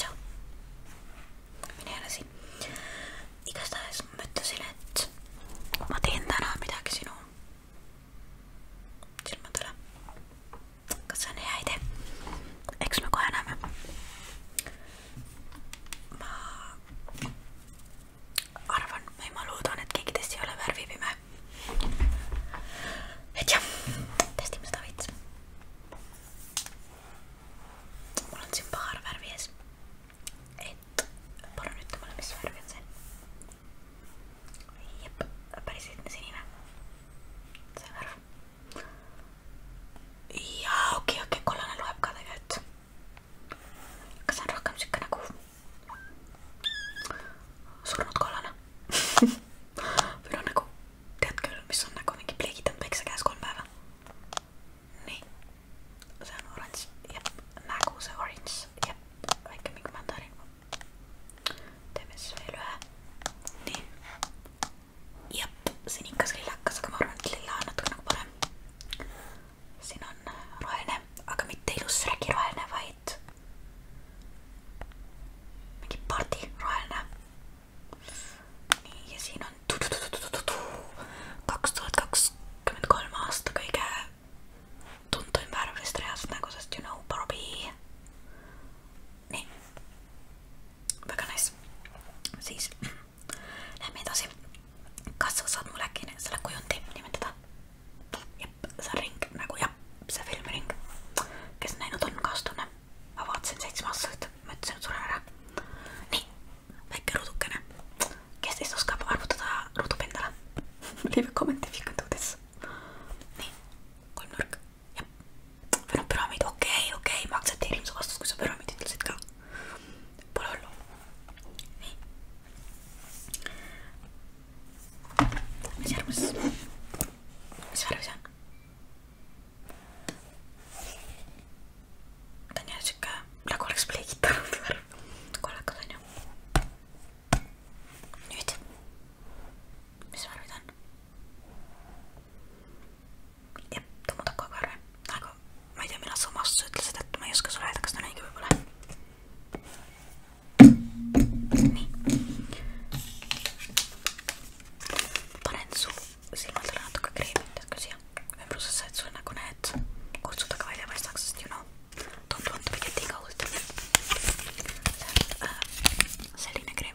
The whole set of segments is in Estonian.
Ciao, minä heräsin. Ikästäis mä möttäsin, et mä teen tänään mitäkin sinuun. Sillä mä tulen. Katsotaan ne jäi te. Eiks me kohe näemme? Mä arvan või ma loodan, et keegi teist ei ole värvipime. et jah, testime seda veits. mul on siin paar värvi ees. et palun ütle mulle, mis värv on see. jep, päris lihtne sinine. see värv. jaa, okei okay,, okei okay,, kollane loeb ka tegelikult aga see on rohkem siuke nagu surnud kollane või noh nagu tead küll, mis on nagu mingi pleegitanud päikse käes kolm päeva. nii, see on oranž, jep, nägu see oranž, jep, väike mingi mandariin. teeme siis veel ühe, nii. jep, sinikas lillakas, aga ma arvan, et lilla on natuke nagu parem siin on roheline, aga mitte ilus räägiroheline, vaid mingi pardi roheline. nii ja siin on kaks tuhat kakskümmend kolm aasta kõige tuntuim värv vist reaalselt nagu, sest you know Barbie. nii, väga nice, siis Lähme edasi. kas sa saad mulle äkki selle kujundi nimetada? jep, see on ring nagu jah, see filmiring. kes näinud on, kaastunne. ma vaatasin seitsme aastaselt, ma ütlesin, et suren ära. nii, väike ruudukene. kes teist oskab arvutada ruudu endale Leave a comment if you can do this. nii, kolmnurk, jah. või noh, püramiid, okei okay,, okei okay,, ma aktsepteerin su vastust, kui sa püramiid ütlesid ka pololo nii mis järgmises mis värv see on? ta on jälle siuke nagu oleks pleegitanud värv kollakas onju nüüd mis värvi ta on? jah, ta muudab kogu aeg arve, aga ma ei tea, millal sa oma vastuse ütlesid, et ma ei oska sulle öelda, kas ta on õige või pole. nii. panen su silmadele natuke kreemi, tead küll siia ümbrusesse, et sul nagu need kortsud aga välja paistaks, sest you know, tundub, et pidi ikka hullult. see on äh, selline kreem.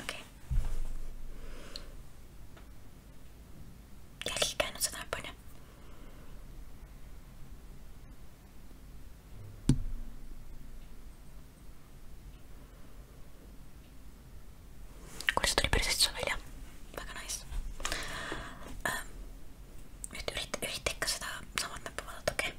okei okay. jälgige ainult seda äpp onju kuule see tuli päris hästi sul välja väga nice ähm, nüüd ürita, ürita ikka seda samat näppu vaadata okei okay?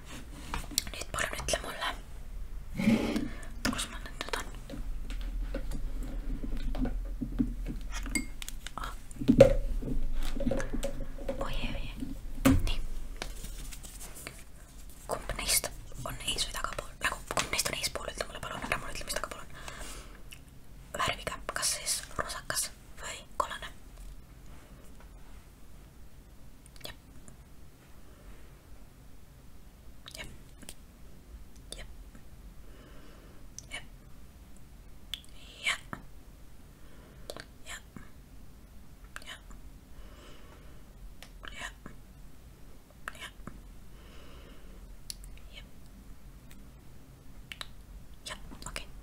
ja nüüd palun ütle mulle, kus ma nüüd nüüd on. Ah. oi, oi, nii. kumb neist on ees või tagapool, nagu kumb neist on eespool, ütle mulle palun, ära mulle ütle, mis tagapool on. värviga, kas siis rosakas või kollane? Yep. Yep. Yep. Yep. Yeah. Yeah. Yeah. Yeah. Yeah. Yep. Yep. Okay.